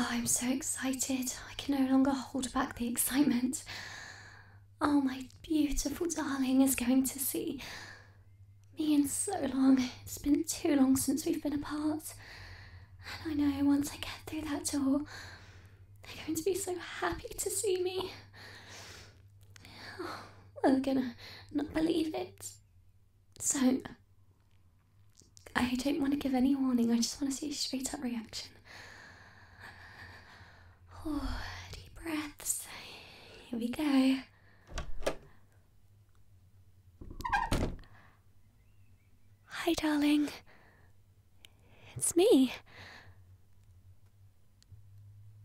Oh, I'm so excited. I can no longer hold back the excitement. Oh, my beautiful darling is going to see me in so long. It's been too long since we've been apart. And I know once I get through that door, they're going to be so happy to see me. Oh, they're gonna not believe it. So, I don't want to give any warning, I just want to see a straight up reaction. Oh, deep breaths. Here we go. Hi, darling. It's me.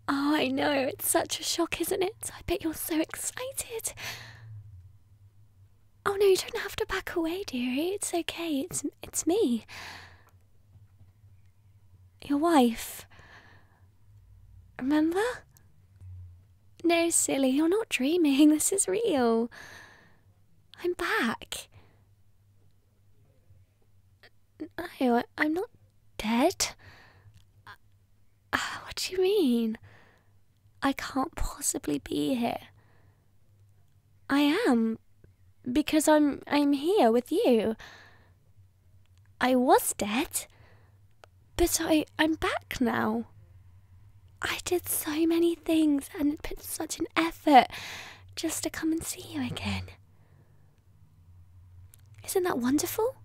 Oh, I know, it's such a shock, isn't it? I bet you're so excited. Oh no, you don't have to back away, dearie. It's okay. It's it's me. Your wife. Remember? No, silly, you're not dreaming. This is real. I'm back. No, I, am not dead. Uh, what do you mean? I can't possibly be here. I am because I'm I'm here with you. I was dead, but I I'm back now. I did so many things and put such an effort just to come and see you again. Isn't that wonderful?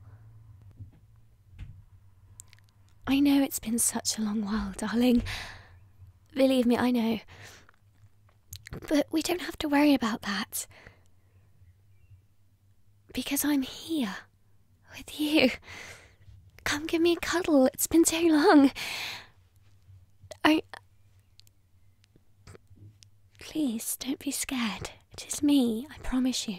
I know it's been such a long while, darling. Believe me, I know. But we don't have to worry about that. Because I'm here with you. Come give me a cuddle, it's been so long. I. Please, don't be scared. It is me, I promise you.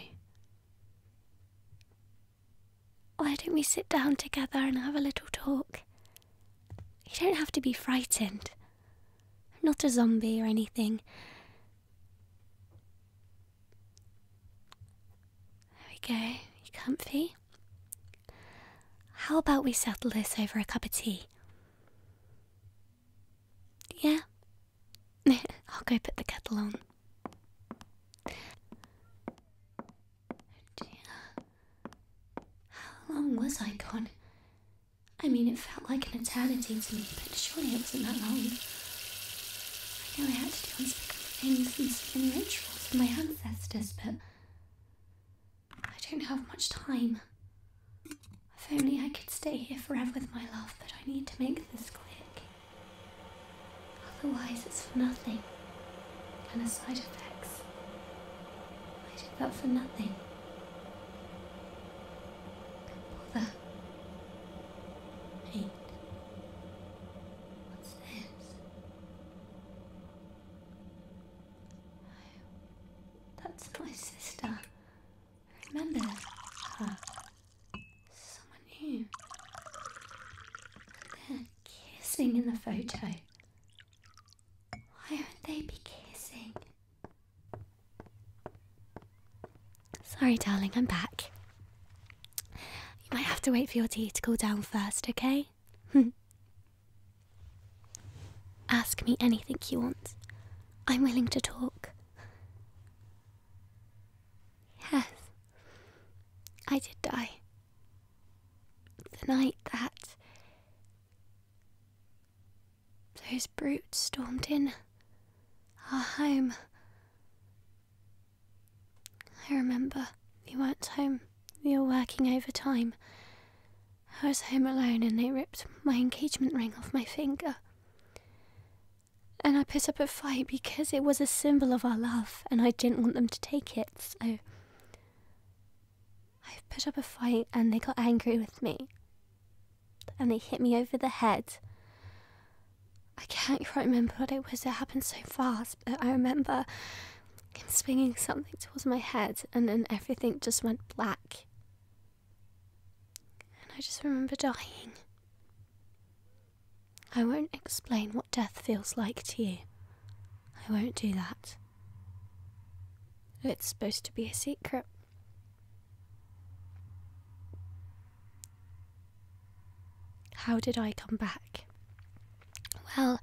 Why don't we sit down together and have a little talk? You don't have to be frightened. I'm not a zombie or anything. There we go. You comfy? How about we settle this over a cup of tea? Yeah? I'll go put the kettle on. How long was I gone? I mean, it felt like an eternity to me, but surely it wasn't that long. I know I had to do unspeakable things and so many rituals for my ancestors, but I don't have much time. If only I could stay here forever with my love, but I need to make this click. Otherwise, it's for nothing. And the side effects. I did that for nothing. do bother. Paint. What's this? That's my sister. remember her. Someone new. they're kissing in the photo. Why aren't they be kissing? Sorry, darling, I'm back. You might have to wait for your tea to cool down first, okay? Ask me anything you want. I'm willing to talk. Yes, I did die. The night that those brutes stormed in our home. I remember you weren't home. You were working overtime. I was home alone and they ripped my engagement ring off my finger. And I put up a fight because it was a symbol of our love and I didn't want them to take it, so. I put up a fight and they got angry with me. And they hit me over the head. I can't quite remember what it was that happened so fast. I remember him swinging something towards my head, and then everything just went black. And I just remember dying. I won't explain what death feels like to you. I won't do that. It's supposed to be a secret. How did I come back? Well,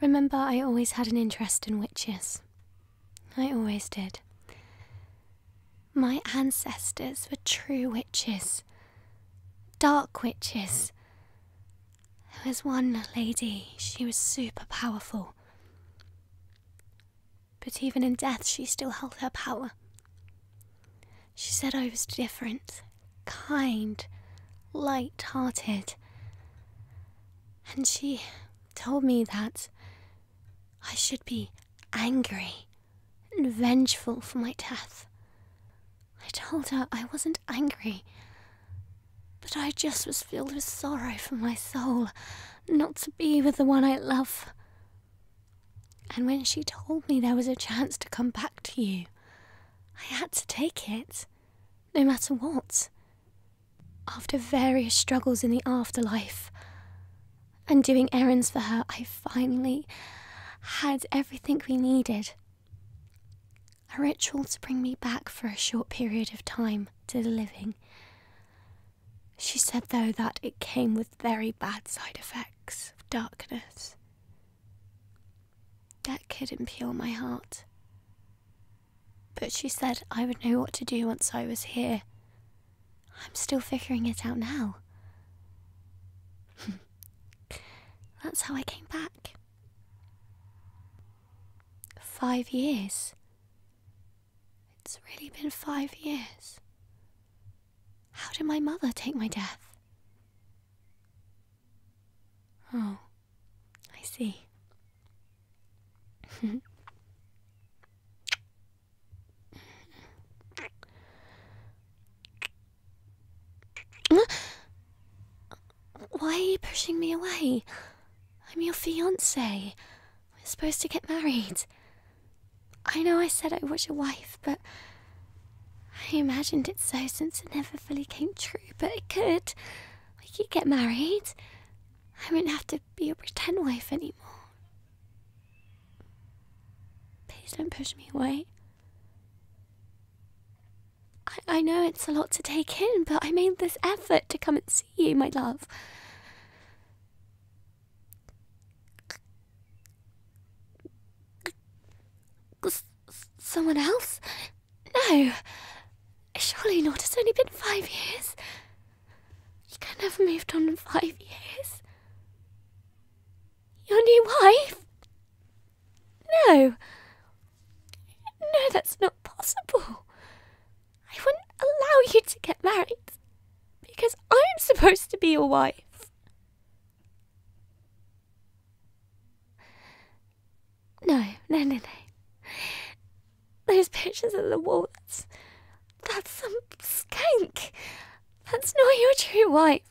remember, I always had an interest in witches. I always did. My ancestors were true witches, dark witches. There was one lady, she was super powerful. But even in death, she still held her power. She said I was different, kind, light hearted. And she told me that I should be angry and vengeful for my death. I told her I wasn't angry, but I just was filled with sorrow for my soul not to be with the one I love. And when she told me there was a chance to come back to you, I had to take it no matter what. After various struggles in the afterlife and doing errands for her, I finally had everything we needed a ritual to bring me back for a short period of time to the living. She said, though, that it came with very bad side effects of darkness. That could not impale my heart. But she said I would know what to do once I was here. I'm still figuring it out now. That's how I came back. Five years. It's really been five years. How did my mother take my death? Oh, I see. Why are you pushing me away? I'm your fiance. We're supposed to get married. I know I said I was your wife, but I imagined it so since it never fully came true, but it could. We could get married. I wouldn't have to be a pretend wife anymore. Please don't push me away. I, I know it's a lot to take in, but I made this effort to come and see you, my love. Someone else? No! Surely not. It's only been five years. You can not have moved on in five years. Your new wife? No. No, that's not possible. I wouldn't allow you to get married because I'm supposed to be your wife. No, no, no, no. Those pictures on the wall, that's some skank. That's not your true wife.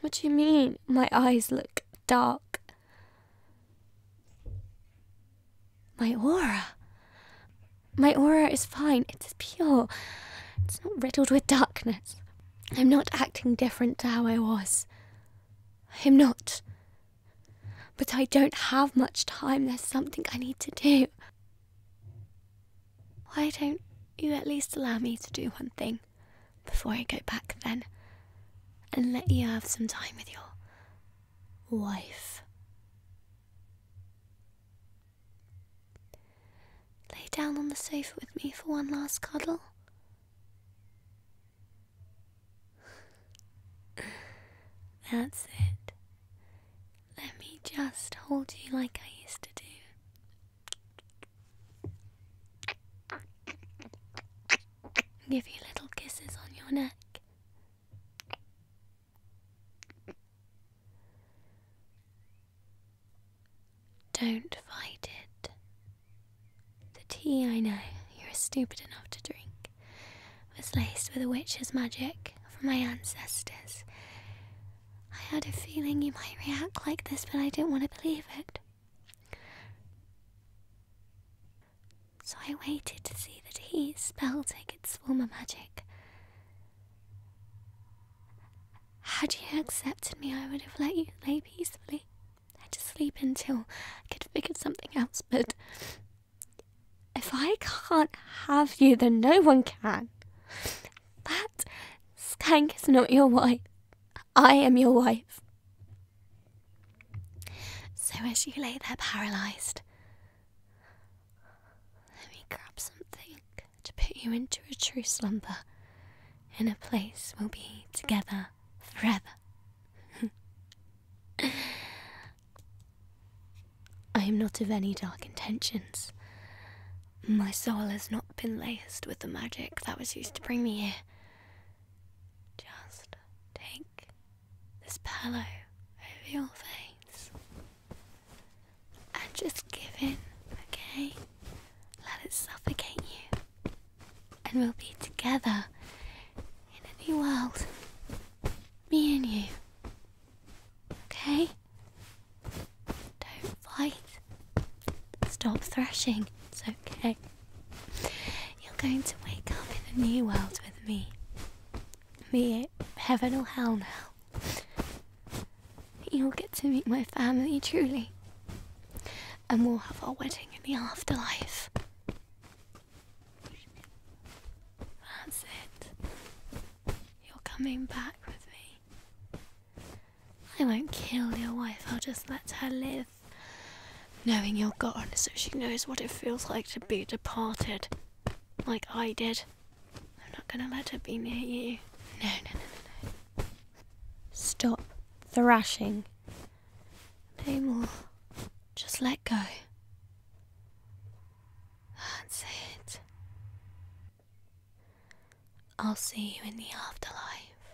What do you mean my eyes look dark? My aura. My aura is fine, it's pure, it's not riddled with darkness. I'm not acting different to how I was. I'm not. But I don't have much time. There's something I need to do. Why don't you at least allow me to do one thing before I go back then and let you have some time with your wife? lay down on the sofa with me for one last cuddle? That's it. Let me just hold you like I used to do. Give you little kisses on your neck. Don't fight it. The tea I know you are stupid enough to drink was laced with a witch's magic from my ancestors. I had a feeling you might react like this, but I didn't want to believe it. So I waited to see that he spell it its former magic. Had you accepted me, I would have let you lay peacefully. I had to sleep until I could figure something else, but if I can't have you, then no one can. That skank is not your wife. I am your wife. So as you lay there paralyzed, let me grab something to put you into a true slumber in a place we'll be together forever. I am not of any dark intentions. My soul has not been laced with the magic that was used to bring me here. Just take this pillow over your face and just give in, okay? Let it suffocate you. And we'll be together in a new world. Me and you. Okay? Don't fight. Stop thrashing. It's okay. You're going to wake up in a new world with me. Be it heaven or hell now. You'll get to meet my family truly, and we'll have our wedding in the afterlife. That's it. You're coming back with me. I won't kill your wife, I'll just let her live. Knowing you're gone so she knows what it feels like to be departed, like I did. I'm not gonna let her be near you. No, no, no, no, no. Stop thrashing. No more. Just let go. That's it. I'll see you in the afterlife.